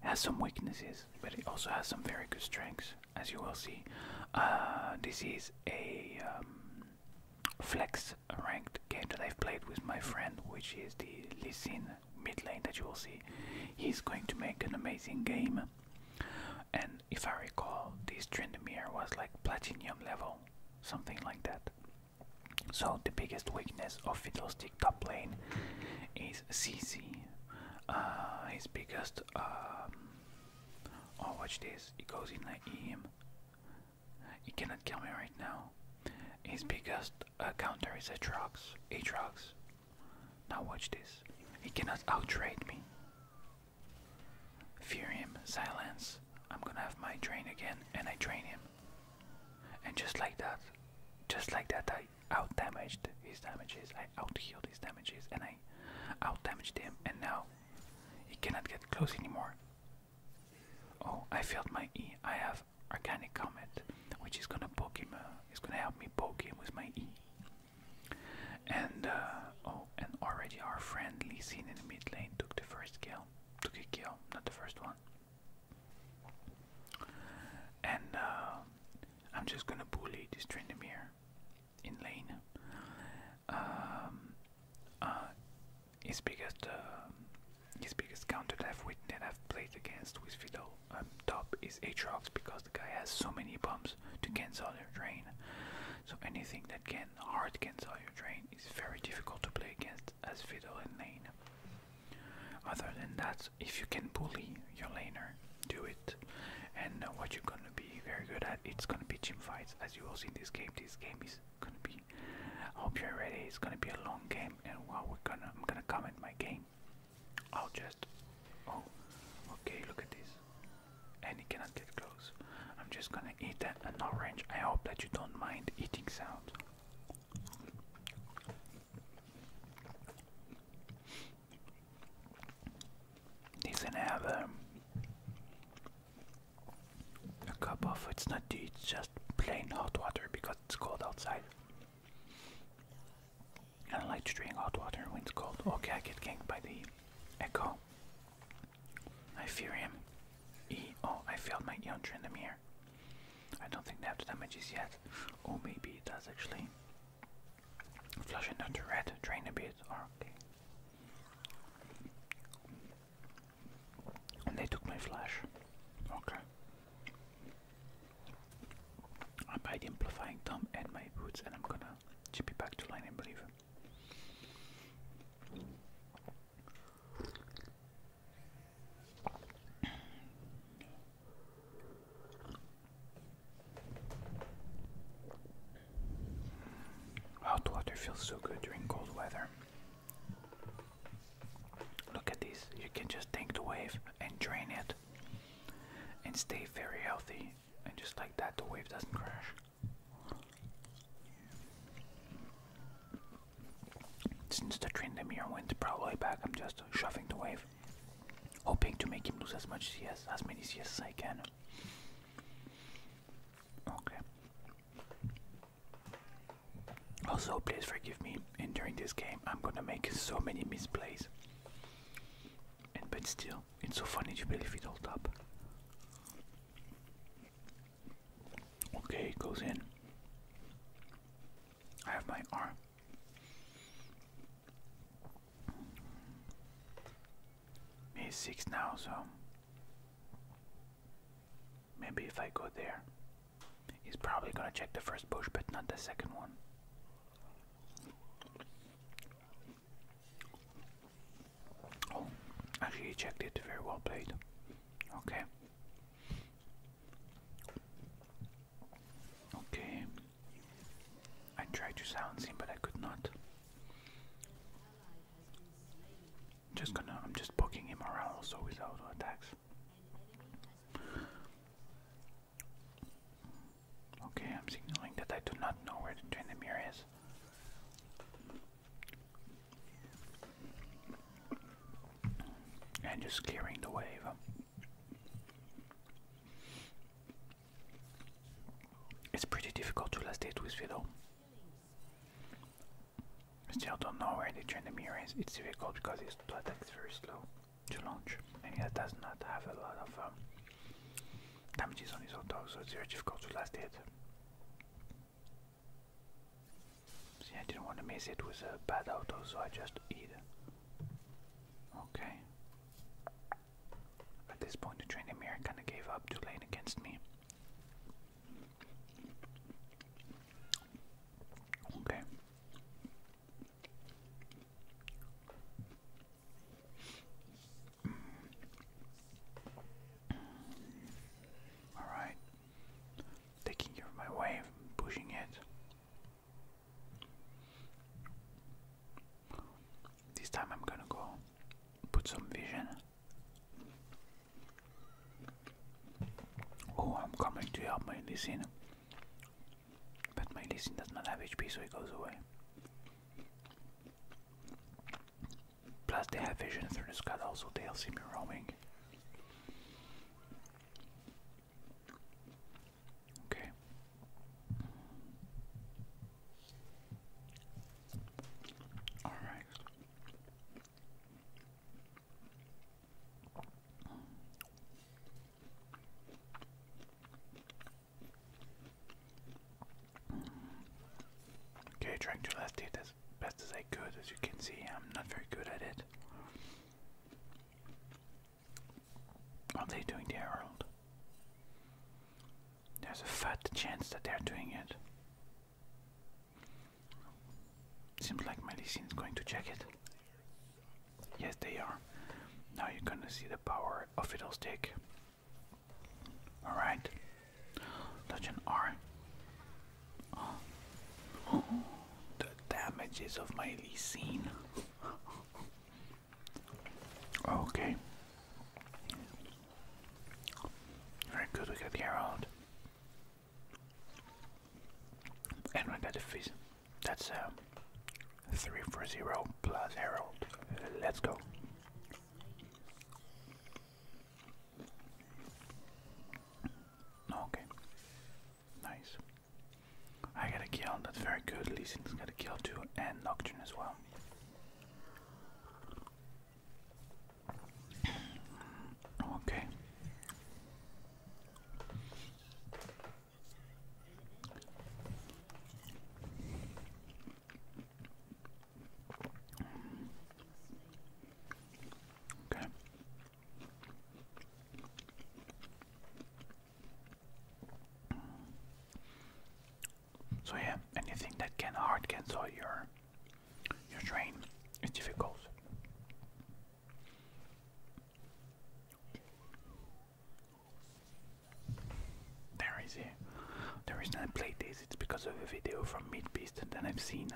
has some weaknesses, but it also has some very good strengths, as you will see. Uh, this is a um, flex ranked game that I've played with my friend, which is the Lee mid lane that you will see. He's going to make an amazing game, and if I recall, this Trindamere was like platinum level, something like that. So the biggest weakness of Fiddlestick top lane is CC. Uh, his biggest. Um, oh, watch this! He goes in like EM. He cannot kill me right now. His biggest uh, counter is a a Aatrox. Now watch this. He cannot outtrade me. Fear him. Silence. I'm gonna have my drain again, and I drain him. And just like that, just like that, I outdamaged his damages, I outhealed his damages, and I outdamaged him, and now he cannot get close anymore. Oh, I failed my E. I have Organic Comet, which is gonna poke him, uh, is gonna help me poke him with my E. And, uh, oh, and already our friend Lee in the mid lane took the first kill, took a kill, not the first one. And uh, I'm just gonna bully this Trindamere in lane. Um, uh, his biggest, um, his biggest counter that I've, played against with Fiddle top is Aatrox because the guy has so many bumps to cancel your drain. So anything that can hard cancel your drain is very difficult to play against as Fiddle in lane. Other than that, if you can bully your laner, do it. And uh, what you're gonna be very good at, it's gonna be gym fights, as you will see in this game. This game is gonna be. hope you're ready. It's gonna be a long game, and while we're gonna, I'm gonna comment my game. I'll just. Oh, okay. Look at this, and it cannot get close. I'm just gonna eat an orange. I hope that you don't mind eating sound. He's going a, cup of it's not tea, it's just plain hot water because it's cold outside. I don't like to hot water when it's cold. Okay, I get ganked by the echo. I fear him. Oh, I failed my Eon Trendamir. I don't think they have the damages yet. Or maybe it does actually. Flush another red, drain a bit, or oh, okay. And they took my flash. Okay. I buy the amplifying tom and my boots and I'm gonna chip it back to line and believe. Hot water feels so good during cold weather. Look at these. You can just take the wave and drain it and stay very healthy. And just like that, the wave doesn't crash. Since the trend Trindamere went probably back, I'm just shoving the wave, hoping to make him lose as much CS, as many CS as I can. Okay. Also, please forgive me. during this game, I'm gonna make so many misplays. And but still, it's so funny to believe it all up. Okay, it goes in. I have my arm. He's six now, so maybe if I go there, he's probably gonna check the first bush, but not the second one. Oh, actually, he checked it. Very well played. Okay, Okay. I tried to silence him, but I could not. Just gonna, I'm just poking him around also with auto attacks. Okay, I'm signaling that I do not know where the Trendemir is. And just clearing the wave. It's pretty difficult to last date with Philo. Still don't know where the trend mirror is. It's difficult because his plot is very slow to launch, and he does not have a lot of um, damages on his auto, so it's very difficult to last date. See, I didn't want to miss it with a bad auto, so I just eat. Okay. At this point, the train Emir kind of gave up too late against me. Okay. All right. Taking care of my wave, pushing it. This time I'm gonna go put some vision. Oh, I'm coming to help my Lysine. But my Lysine does not have HP, so it goes away. Plus, they have vision through the sky, also, they'll see me roaming. Okay. All right. Okay, trying to last it as best as I could. As you can see, I'm not very good at it are they doing to Harold? There's a fat chance that they're doing it. Seems like medicine going to check it. Yes, they are. Now you're gonna see the power of Fiddlestick. Alright. Touch an R the damages of my Lysine. okay. Very good, we got Geralt. And we got the fish. That's uh, 3 for 0 plus Herald. let's go. Okay. Nice. I got a kill, that's very good. Leeson's got a kill too, and Nocturne as well. Okay. Okay. So yeah, anything that can hard cancel your your train is difficult. There is a the reason I played this it's because of a video from Meat Beast that I've seen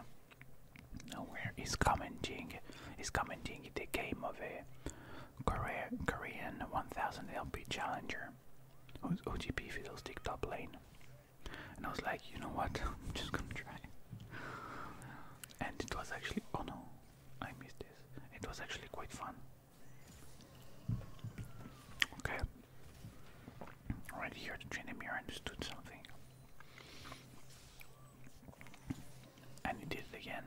where he's commenting, he's commenting the game of a Korea, Korean 1000 LP challenger, who's OGP Fiddlestick top lane. And I was like, you know what, I'm just gonna try. And it was actually, oh no, I missed this. It was actually quite fun. Okay. Right here, the Trinimir understood something and he did it again.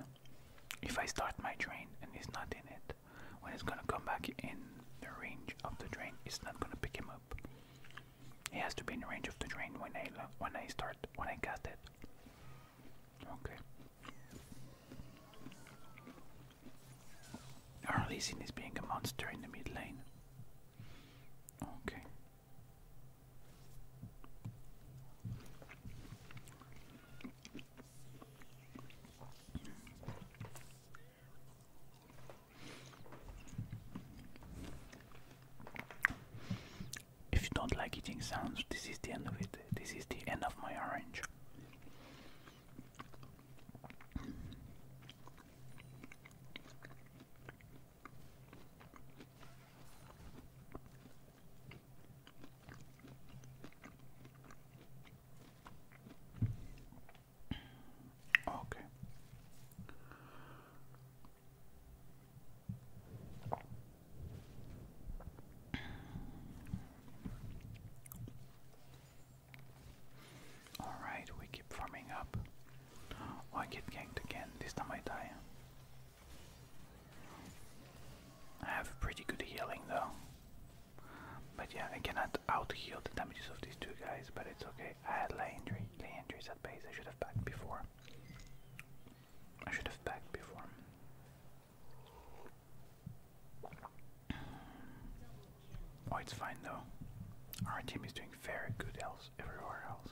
If I start my drain and he's not in it, when it's gonna come back in the range of the drain, it's not gonna pick him up. He has to be in the range of the drain when I when I start when I cast it. Okay. Arlesin is being a monster in the mid lane. Okay, if you don't like eating sounds, this is the end of it. This is the end of my orange. Okay. All right, we keep farming up. Oh, I get ganked again. This time I die. I have pretty good healing though. But yeah, I cannot out heal the damages of these two guys, but it's okay. I had Landry. Landry's at base. I should have backed before. I should have backed before. Oh, it's fine though. Our team is doing very good else everywhere else.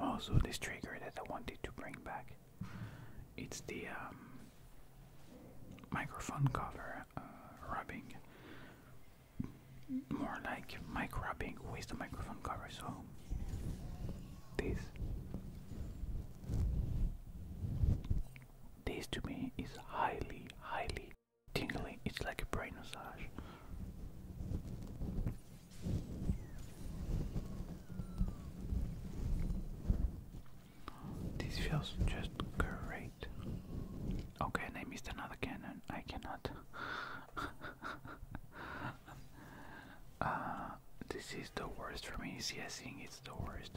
Also, oh, this trigger that I wanted to bring back, it's the um, microphone cover uh, rubbing, more like mic rubbing with the microphone cover. So this. This to me is highly, highly tingling. It's like a brain massage. This feels just great. Okay, I missed another cannon. I cannot. Uh, this is the worst for me. Yes, I think it's the worst.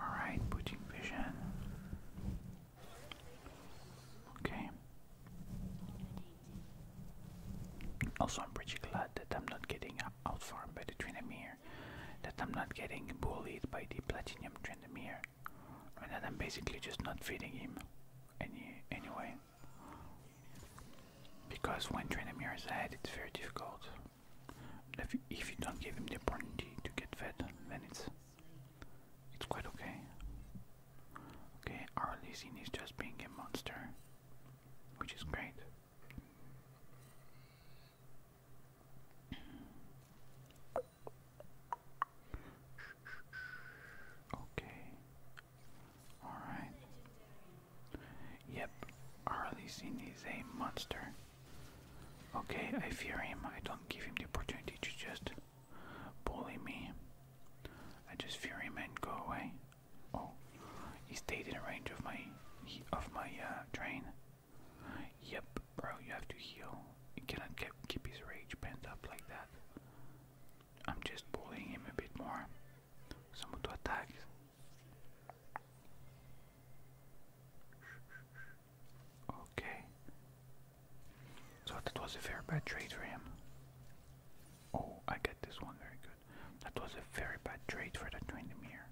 Alright, putting vision. Okay. Also, I'm pretty glad that I'm not getting outfarmed by the Trinomir, that I'm not getting bullied by the Platinum Trinomir, and that I'm basically just not feeding him any anyway. Because when Draenamir is ahead, it's very difficult. If you, if you don't give him the opportunity to get fed, then it's it's quite okay. Okay, our Lizine is just being a monster, which is great. Okay, Alright. Yep, Harley Zinn is a monster. Okay, I fear him. I don't give him the opportunity to just bully me. I just fear him and go away. Oh, he stayed in range of my of my uh, train. Yep, bro, you have to heal. You cannot keep keep his rage pent up like that. I'm just pulling him a bit more. Someone to attack. Okay. So that was a very bad trade for him. Oh, I get this one very good. That was a very bad trade for the Twindemir.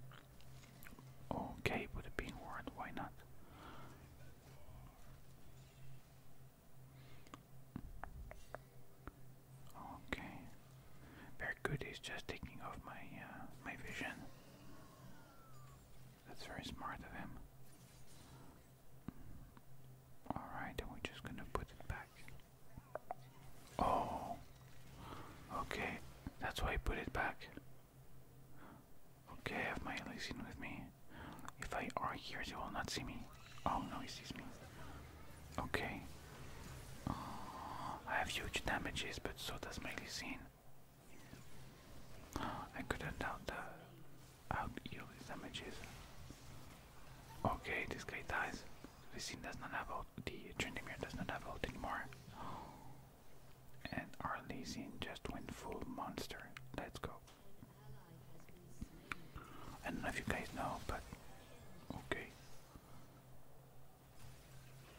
Okay, put a being ward, why not? Okay. Very good. He's just taking off my uh, my vision. That's very smart of him. Alright, we're just gonna put it back. Oh. Okay. That's why I put it back. Okay, I have my Elysian with me. If I are here, you will not see me. Oh no, he sees me. Okay. Uh, I have huge damages, but so does my Lysine. I couldn't out the out heal his damages. Okay, this guy dies. Lysine does not have ult. The Trindamere does not have ult anymore. And our Lysine just went full monster. Let's go. I don't know if you guys know, but okay.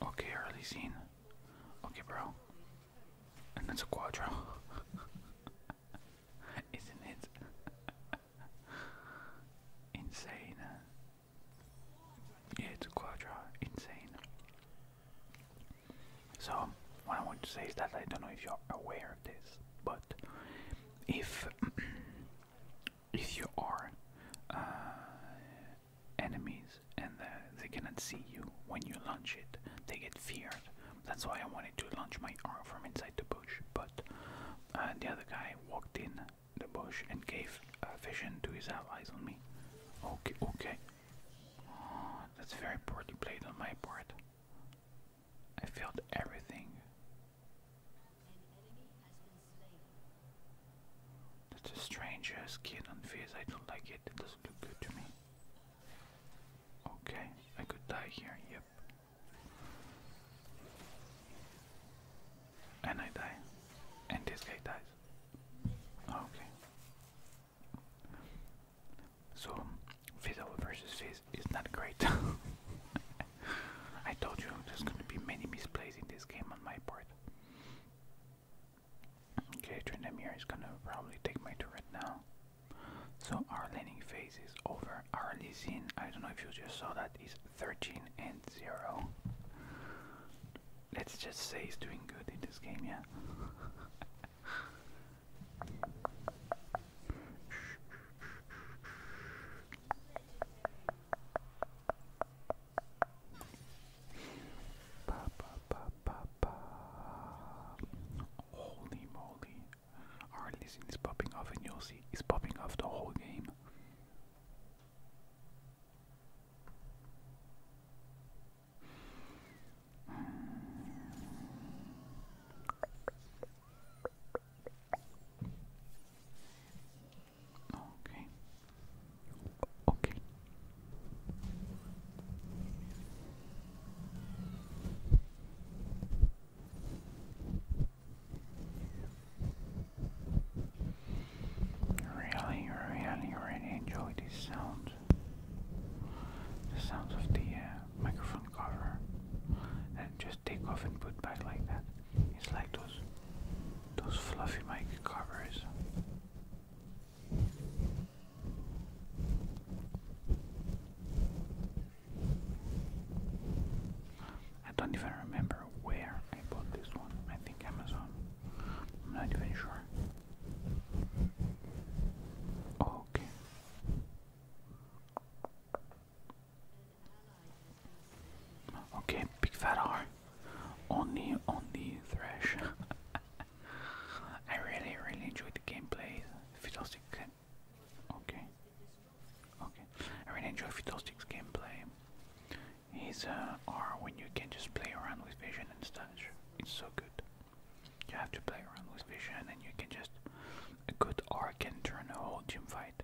Okay. Okay, early scene. Okay, bro. And that's a quadro. Isn't it? Insane. Yeah, it's a quadro. Insane. So, what I want to say is that I don't know if you're aware of this, but if if you are uh, enemies and they cannot see you when you launch it, they get feared. That's why I wanted to launch my arm from inside the bush, but uh, the other guy walked in the bush and gave vision to his allies on me. Okay, okay. that's very poorly played on my part. I failed everything. That's a strange skin on face. I don't like it. It doesn't look good to me. Okay, I could die here. Yep. And I die. And this guy dies. Okay. So, Fizzle versus Fizz is, not great. I told you there's going to be many misplays in this game on my part. Okay, Trindamir is going to probably take my turret now. So our laning phase is over. Our Lysine, I don't know if you just saw that, is 13 and 0. Let's just say he's doing good in this game, yeah? Ba, ba, ba, ba, ba. Holy moly. Our listen is popping off and you'll see it's popping off the whole game. Okay. Okay. Really, really, really enjoy these sounds. The sounds of the uh, microphone cover. And just take off and put back like that. It's like those those fluffy mic covers. I don't even remember where I bought this one. I think Amazon. I'm not even sure. Okay. Okay, big fat R. Only only the thresh. I really, really enjoy the gameplay. Fiddlestick. Okay. Okay. I really enjoy Fiddlestick's gameplay. His uh, R when you can just play around with vision and stuff. It's so good. You have to play around with vision and you can just. A good R can turn a whole gym fight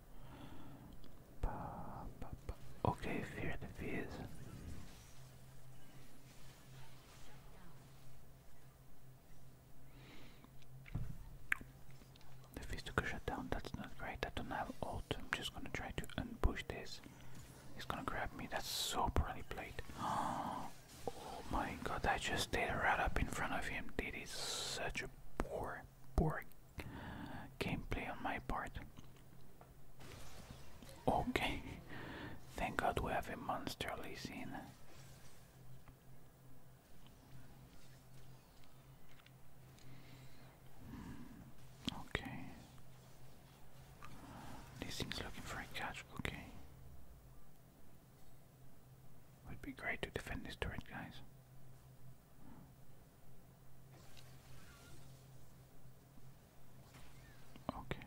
Okay, fear the fears. The feast took a shutdown, that's not right. I don't have ult. I'm just gonna try to unpush this. He's gonna grab me. That's so poorly played. Oh my god, I just did stayed right up in front of him. That is such a bore poor gameplay on my part. Okay, thank God we have a monster Lee hmm. Okay, this looking for a catch. Okay. Would be great to defend this turret, guys. Okay.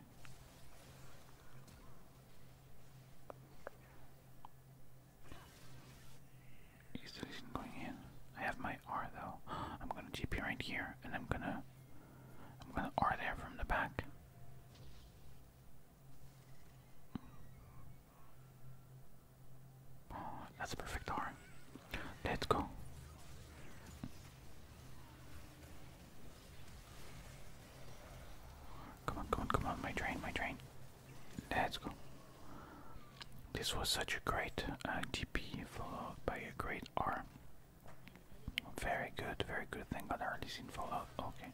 Is going in? I have my R though. I'm gonna GP right here, and I'm gonna, I'm gonna R there from the back. Oh, that's a perfect arm. Let's go. Come on, come on, come on, my train, my train. Let's go. This was such a great DP uh, followed by a great arm. Very good, very good. Thank God I already seen Fallout. Okay.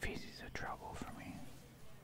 this is a trouble for me.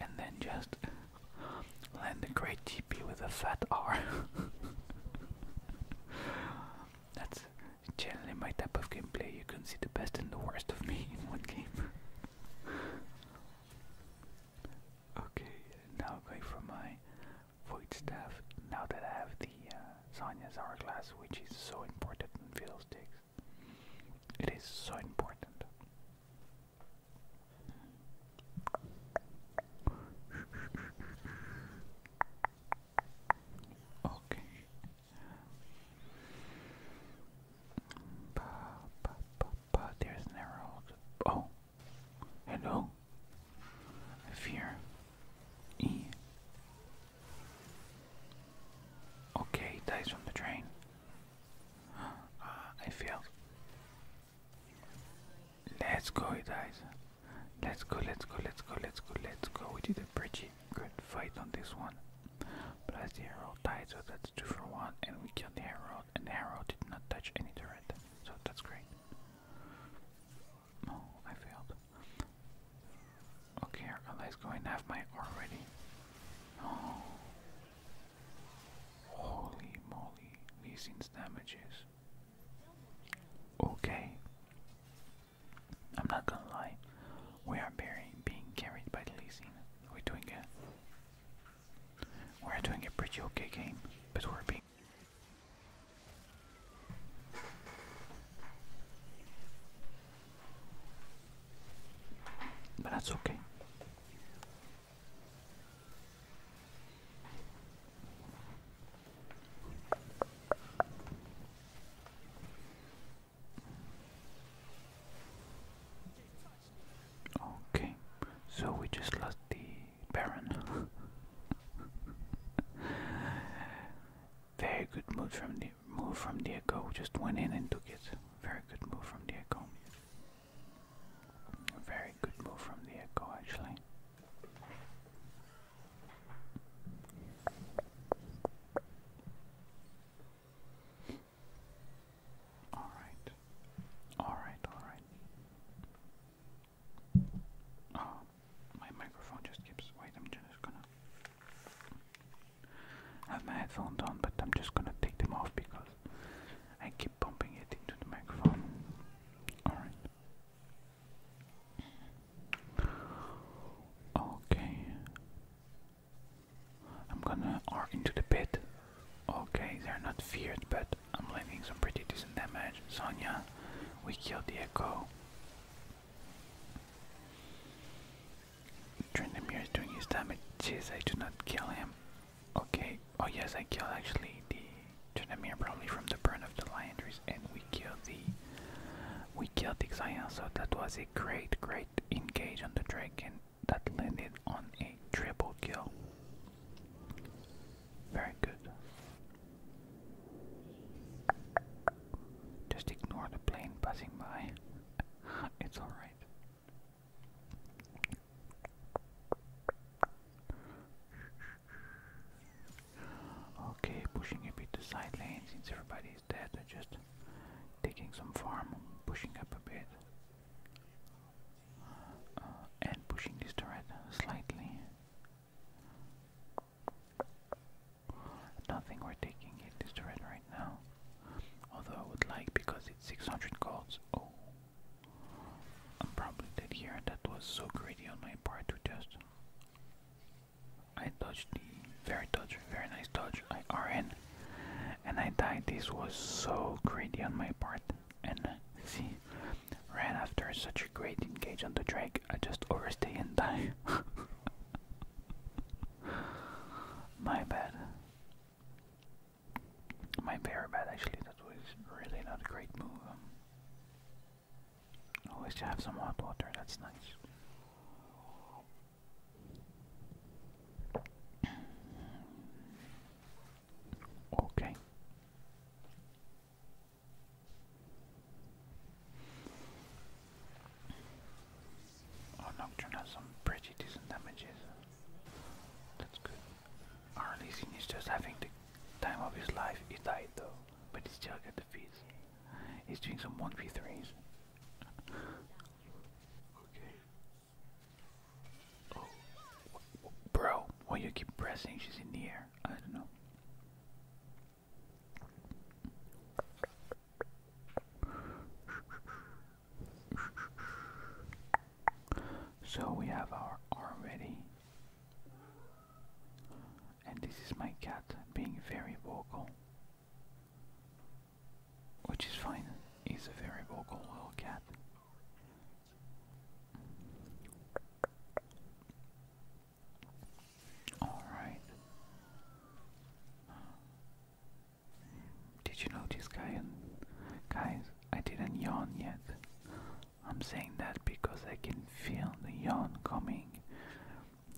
and then just land a great TP with a fat R. That's generally my type of gameplay. You can see the best and the worst of me in one game. okay, now going for my void staff. Now that I have the uh, hourglass, which is so important in Fiddlesticks, it is so important. Okay. Ba, ba, ba, ba. There's an Oh, hello. Fear. E. Okay, dies from the train. Ah, I failed. Let's go, guys. Let's go, let's go, let's go, let's go, let's go. We did a pretty good fight on this one. Plus the arrow died, so that's 2 for 1. And we killed the arrow, and the arrow did not touch any turret. So that's great. No, I failed. Okay, our ally's going half my already. Oh, Holy moly, Leasing's damages. Okay. I'm not gonna lie. We are bearing, being carried by Leasing. We're doing a We're doing a pretty okay game, but we're being But that's okay. Okay, so we just lost the Baron. Very good move from the move from Diego. Just went in and took it. Very good move from Diego very good move from the actually. All right, all right, all right. Oh, ah, my microphone just keeps. Wait, I'm just gonna have my headphones on, but I'm just gonna take them off because I keep keep it into the microphone. Alright. Okay. I'm gonna R into the pit. Okay, they're not feared, but I'm landing some pretty decent damage. Sonya, we killed the Echo. Trendemir is doing his damage. Jeez, I do not kill him. Okay, oh yes, I killed actually the Janamir probably from the burn of the Liandries and we killed the we killed the Xian. so that was a great great engage on the dragon that landed on a triple kill. Very good. Just ignore the plane passing by. it's alright. Okay, pushing a bit to side lane since everybody is dead. They're just taking some farm, pushing up a bit, uh, and pushing this turret slightly. Nothing we're taking it this turret right now. Although I would like because it's 600 golds. Oh, I'm probably dead here that was so greedy on my part to just... I dodged the... very dodge, very nice dodge, I ran, and I died. This was so greedy on my part and see, ran after such a great engage on the drag, I just overstay and die. my bad. My Parabad, actually, that was really not a great move. Um, always have some hot water, that's nice. okay. Oh, Nocturne has some pretty decent damages. That's good. Arnie Sinister's having the time of his life. He died though, but he still got the fees. He's doing some 1v3s. okay. Oh. Bro, why you keep pressing? She's in the air. I don't know. So we have our arm ready. And this is my cat being very vocal. Which is fine, he's a very vocal little cat. Alright. Did you know this guy guys I didn't yawn yet. I'm saying that because I can feel the yawn coming.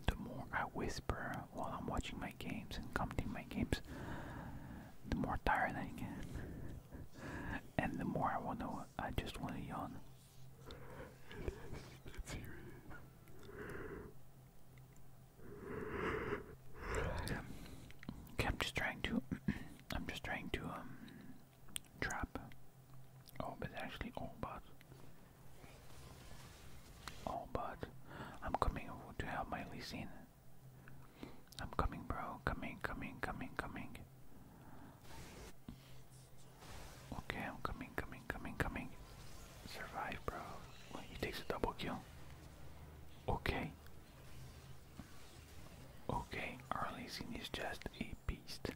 The more I whisper while I'm watching my games and counting my games, the more tired I get. and the more I want to, I just want to yawn. Okay, I'm just trying to I'm just trying to um trap. Oh, but actually, all but oh, but I'm coming to help my Lee I'm coming, bro. Coming, coming, coming, coming. Okay, I'm coming, coming, coming, coming. Survive, bro. he takes a double kill. Okay, Okay, Arlene is just a beast.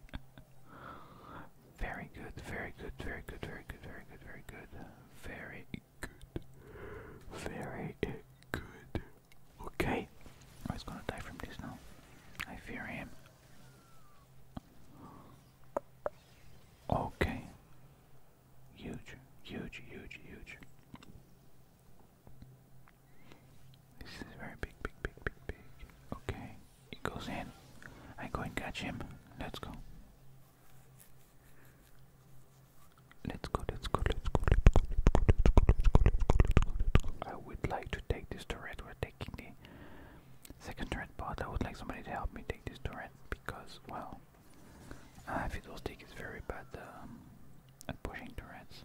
very good, very good, very good, very good, very good, very good, very good, very good. Okay, oh, I was gonna die from this now. I fear him. Okay. Huge, huge, huge, huge. This is very big, big, big, big, big. Okay, it goes in. I go and catch him. Let's go. Let's go, let's go, let's go, let's go, let's go, let's go, let's go, let's go, let's go, I would like to take this turret. We're taking the second turret, but I would like somebody to help me take this turret because, well, uh, if it was taken, very bad um, at pushing turrets.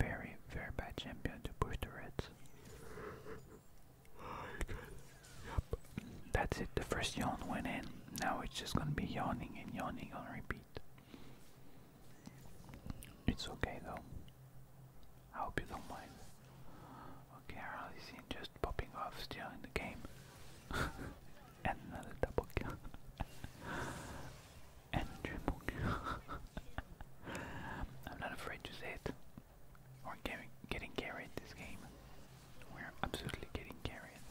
Very, very bad champion to push the reds. Yep. That's it, the first yawn went in. Now it's just gonna be yawning and yawning on repeat. It's okay though. I hope you don't mind. Okay, I just popping off still in the game. and another double kill. and triple kill. I'm not afraid to say it. We're getting, getting carried this game. We're absolutely getting carried.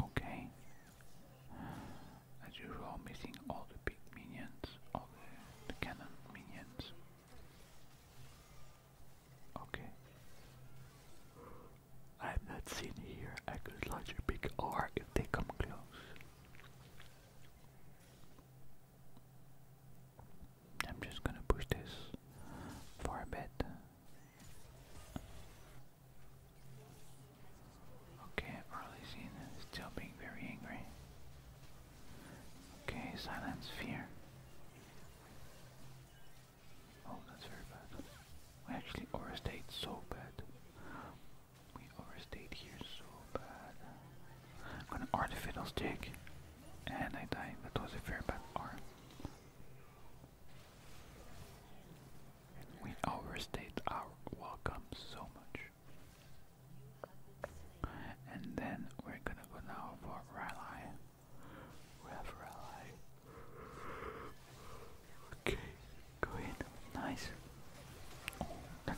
Okay. As usual, missing all the big minions, all the cannon minions. Okay. I am not seen here I could launch a big R if they come close. I'm just gonna push this for a bit. Okay, early seen is still being very angry. Okay, silence fear. Oh, that's very bad. We actually overstayed so bad. We overstayed here so bad. I'm gonna R the fiddlestick. And I died. That was a very bad R. We overstayed our welcome so much. And then we're gonna go now for Rally. Wherever I Okay, go in. Nice.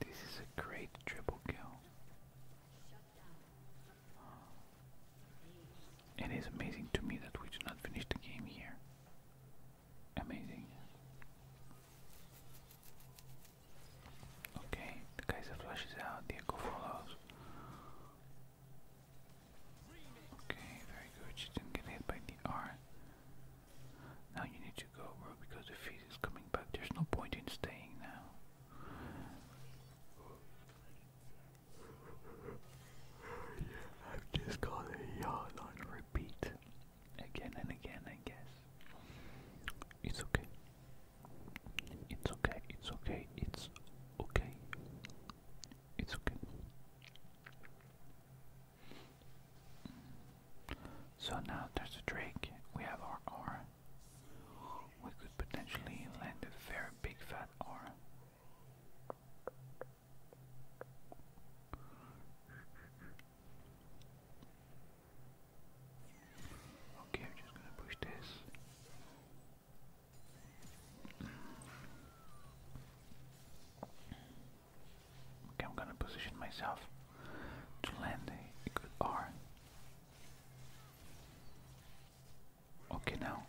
this is a great triple kill. It is amazing to me that we do not finish the game here. Amazing. Okay, the Kaiser flashes out, Diego follows. Okay, very good. didn't get hit by the R. Now you need to go, bro, because the feed is coming back. There's no point in staying now. I've just got a yawn on repeat. Again and again, I guess. It's okay. It's okay, it's okay, it's okay. It's okay. So now there's a drake. We have our R. We could potentially land a very big fat R. Okay, I'm just gonna push this. Okay, I'm gonna position myself to land a good R. Okay, now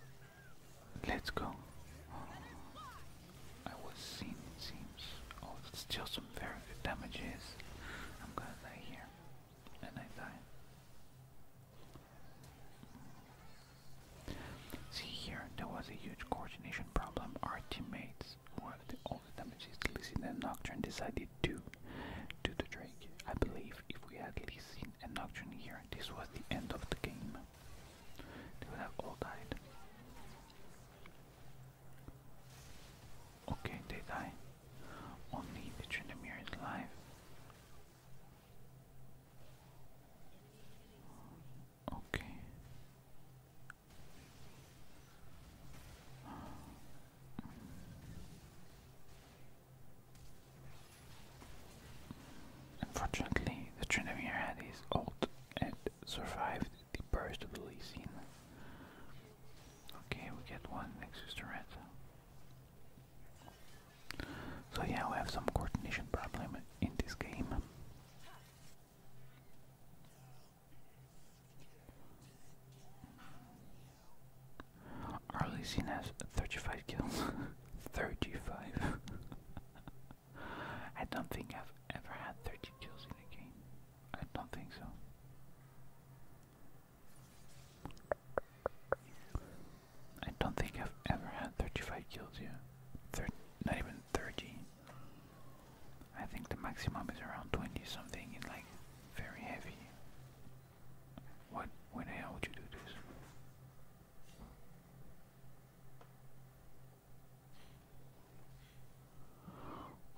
let's go. I was seen, seems. Oh, still some very good damages. I'm gonna die here and I die. See here, there was a huge coordination problem. Our teammates were the only damages Lysine and Nocturne decided to do the trick. I believe if we had Lysine and Nocturne here, this was the end of the game. They would have all died. Okay, they die. Only the Trindamere is alive. Okay. Unfortunately, the Trindamere had his and survived the burst of the Lee Okay, we get one Nexus turret. So yeah, we have some coordination problem in this game. Arlie 35 kills. 35. I don't think I've ever had 30 kills in a game. I don't think so. I don't think I've ever had 35 kills yet. Thir not even 30. I think the maximum is around 20 something in like very heavy. What, when the hell would you do this?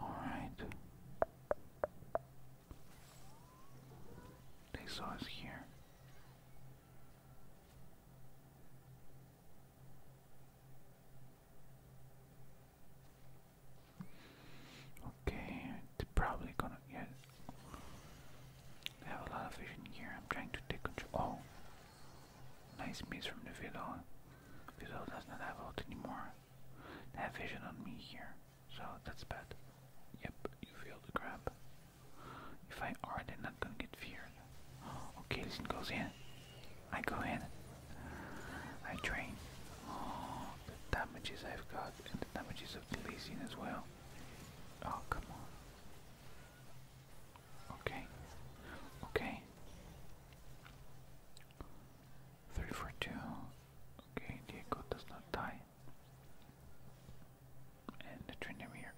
Alright. They saw us here. Okay, they're probably gonna get. have a lot of vision here. I'm trying to take control. Oh, nice miss from the Vidal. Vidal does not have ult anymore. have vision on me here. So that's bad. Yep, you feel the grab. If I are, then i not gonna get feared. Okay, listen goes in. I go in. I train. Oh, the damages I've got and the damages of the leasing as well. Oh, come on. Okay. Okay. Three for two. Okay, Diego does not die. And the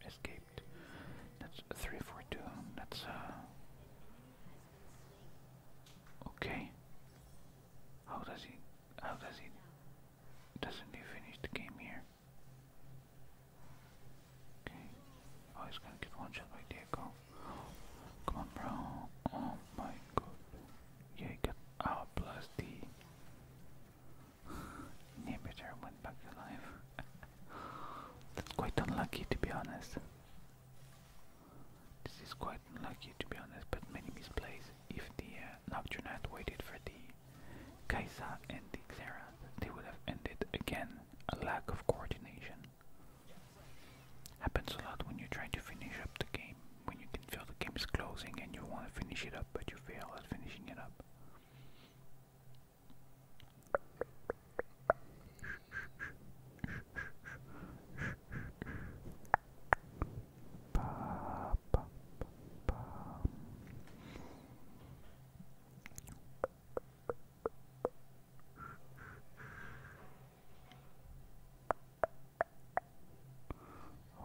escaped. That's three for two. That's uh, Okay. How does he how does he doesn't he finish the game here? Okay. Oh he's gonna get one shot by Diego. Come on bro. Oh my god you got out plus the inhibitor went back alive. That's quite unlucky to be honest. This is quite unlucky to be honest, but many misplays. If the uh, Nocturne had waited for the Kaiser and the Xerath, they would have ended again. A lack of coordination. Happens a lot when you are trying to finish up the game, when you can feel the game is closing and you want to finish it up, but you fail at finishing it up.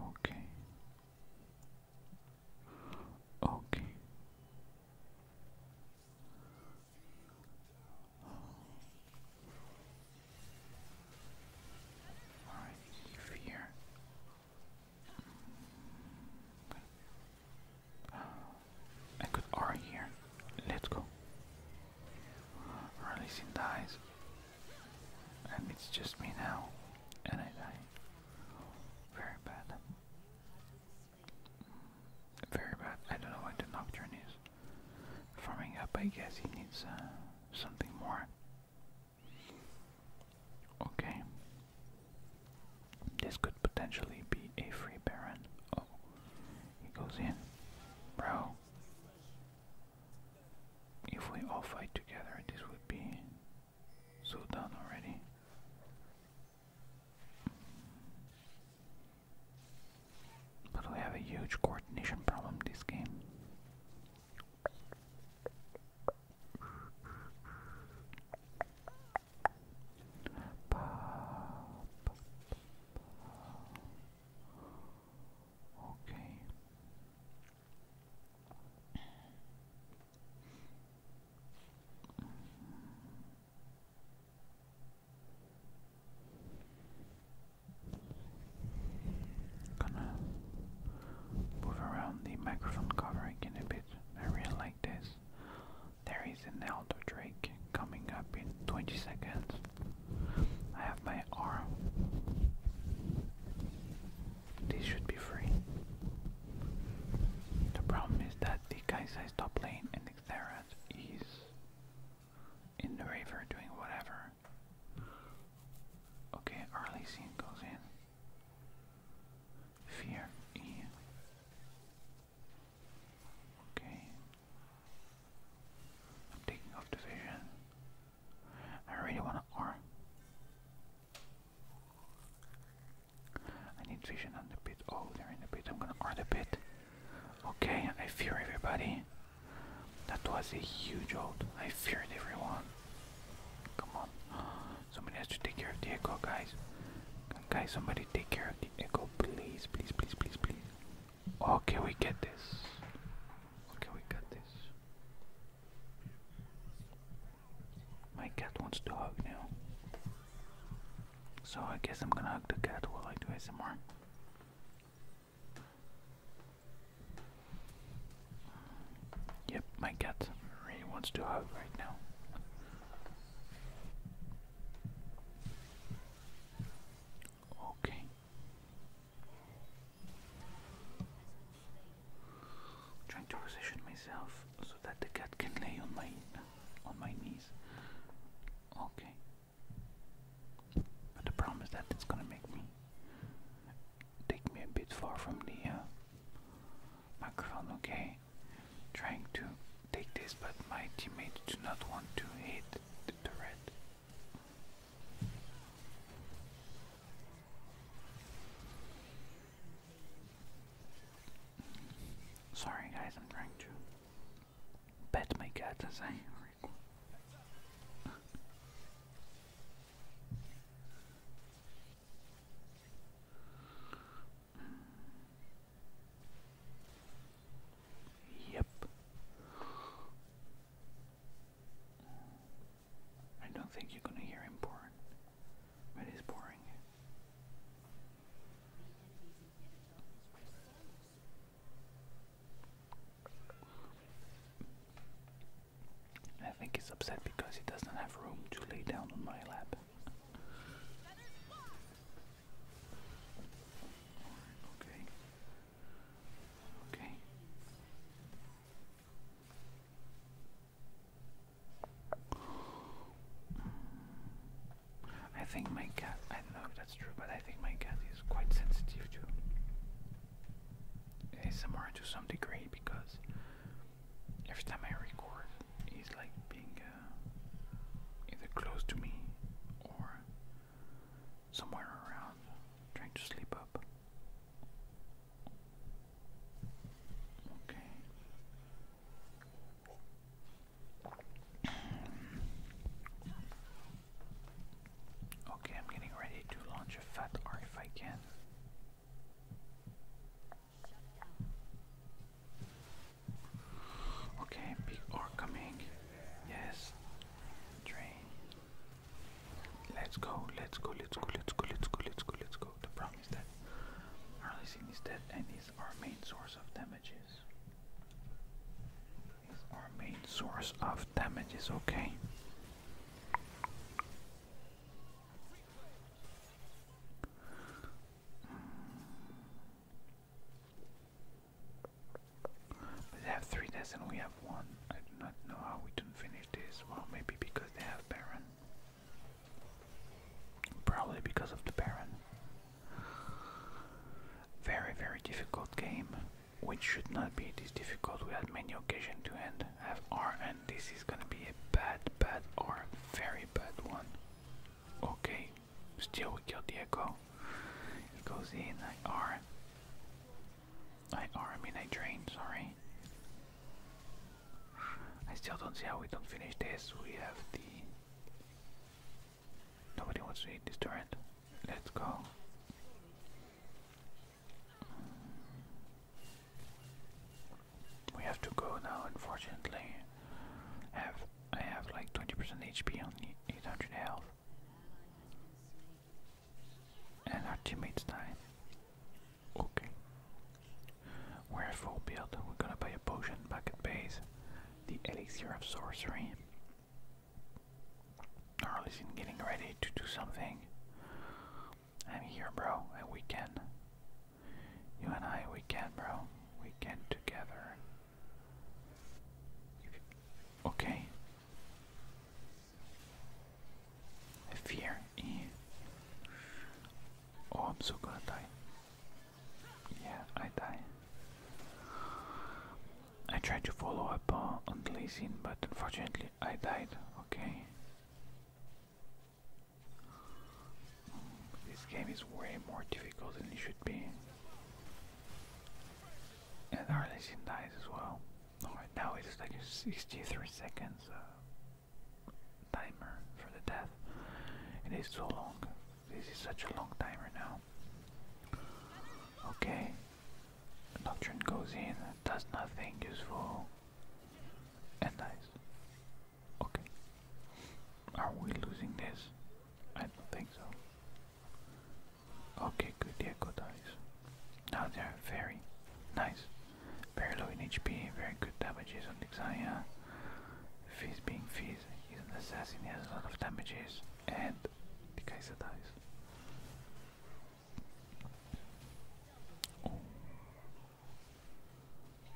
Okay. Okay. All right, leave here. I could R here. Let's go. Releasing dies. And it's just me now. And I die. Very bad. Very bad. I don't know what the Nocturne is. Farming up, I guess he needs uh, something more. Okay. This could potentially be a free Baron. Oh, he goes in. Bro. If we all fight together, this would be so done already. But we have a huge coordination problem this game. Gonna move around the microphone cover again a bit. I really like this. There is an Elder Drake coming up in 20 seconds. I have my arm. These should be free. The problem is that the Kaisai's top lane and Xerath is in the river doing whatever. Okay, early scene goes in. Fear Okay. I'm taking off the vision. I really want to arm. I need vision on the pit. Oh, they're in the pit. I'm gonna arm the pit. Okay, I fear everybody. That was a huge ult. I feared everyone. Come on. Somebody has to take care of the echo, guys. Guys, somebody take care of the echo, please, please, please, please, please. Okay, we get this? Okay, we get this? My cat wants to hug now. So I guess I'm gonna hug the cat while I do ASMR. Yep, my cat really wants to hug right now. Okay trying to position myself so that the cat can lay on my on my knees. Okay. But the problem is that it's gonna make me take me a bit far from the uh, microphone. Okay. Trying to take this, but my teammates do not want to hit the turret. Sorry guys, I'm trying to my cat as I yep. I don't think you're gonna hear him pouring, but he's pouring. I think he's upset because he doesn't have room to lay down on my lap. Okay. Okay. I think my cat, I don't know if that's true, but I think my cat is quite sensitive to ASMR to some degree because every time I record, he's like being uh, either close to me or somewhere around trying to sleep up. Okay. okay, I'm getting ready to launch a fat R if I can. Okay, big R coming. Yes. Train. Let's go, let's go, let's go, let's go, let's go, let's go, let's go. The problem is that Arlissing is dead and is our main source of damages. Is our main source of damages, okay? Mm. But they have three deaths and we have one. I do not know how we didn't finish this. Well, maybe because they have Baron. Probably because of the Baron. Very, very difficult game, which should not be this difficult. We had many occasions to end have R, and this is gonna be a bad, bad R, very bad one. Okay, still we kill the Echo. It goes in, I R. I, I mean I drained, sorry. I still don't see how we don't finish this. We have the... Nobody wants to eat this turret. Let's go. We have to go now, unfortunately. have, I have like 20% HP on 800 health and our teammates die. Okay. We're full build. We're gonna buy a potion bucket base. The elixir of sorcery. Arlis in getting ready to do something. I'm here, bro, and we can. You and I, we can, bro. We can together. Okay, I fear. Oh, I'm so gonna die. Yeah, I die. I tried to follow up on Lazine, but unfortunately I died. Okay. Mm, this game is way more difficult than it should be. And our dies as well. All right, now it is like 63 seconds timer for the death. It is so long. This is such a long timer now. Okay. Doctrine goes in, does nothing useful, and dies. Okay. Are we losing this? I don't think so. Okay, good, yeah, good eyes. Now they are very nice. Very low in HP, very good damages on the Xayah. Fizz being Fizz, he's an assassin, he has a lot of damages, and the Kaiser dies.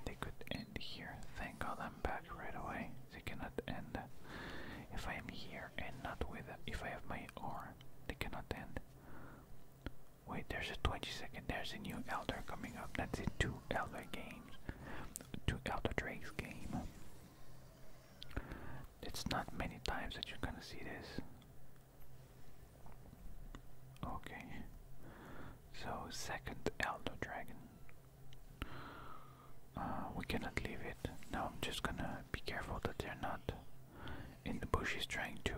They could end here. Thank God I'm back right away. They cannot end. If I am here and not with, if I have my R they cannot end. Wait, there's a 20 second. There's a new Elder coming up. That's it. Two Elder games. Two Elder Drake's game. It's not many times that you're gonna see this. Okay. So, second Elder Dragon. Uh, we cannot leave it. Now I'm just gonna be careful that they're not in the bushes trying to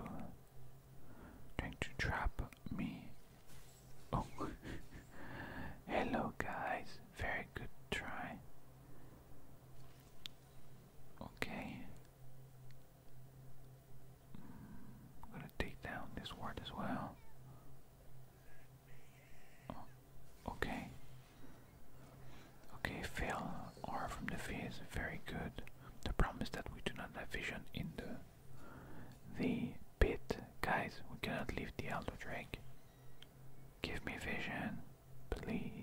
trying to trap me. Oh hello guys, very good try. Okay. I'm mm, gonna take down this ward as well. Oh, okay. Okay, fail R from the is very good. The problem is that we do not have vision in the the pit. Guys, we cannot leave the Elder Drake. Give me vision, please.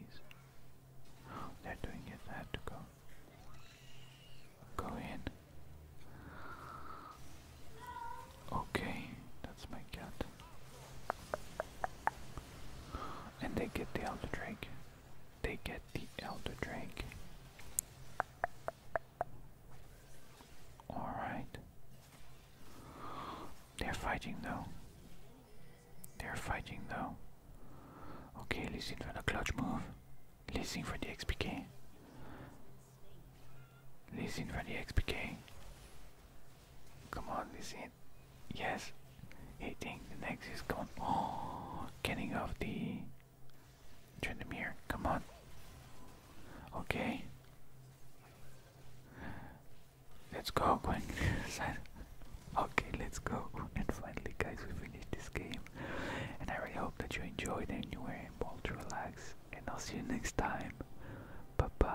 they're doing it, I have to go. Go in. Okay, that's my cat. And they get the Elder Drake they get the Elder drink. Alright. They're fighting though. They're fighting though. Okay, listen for the clutch move. Listen for the XPK. Listen for the XPK. Come on, listen it. Yes, hitting the next is gone. Oh, getting off the Trendemir. Come on. Okay. Let's go, going Okay, let's go. And finally, guys, we finished this game. And I really hope that you enjoyed and you were able to relax. And I'll see you next time. Bye bye.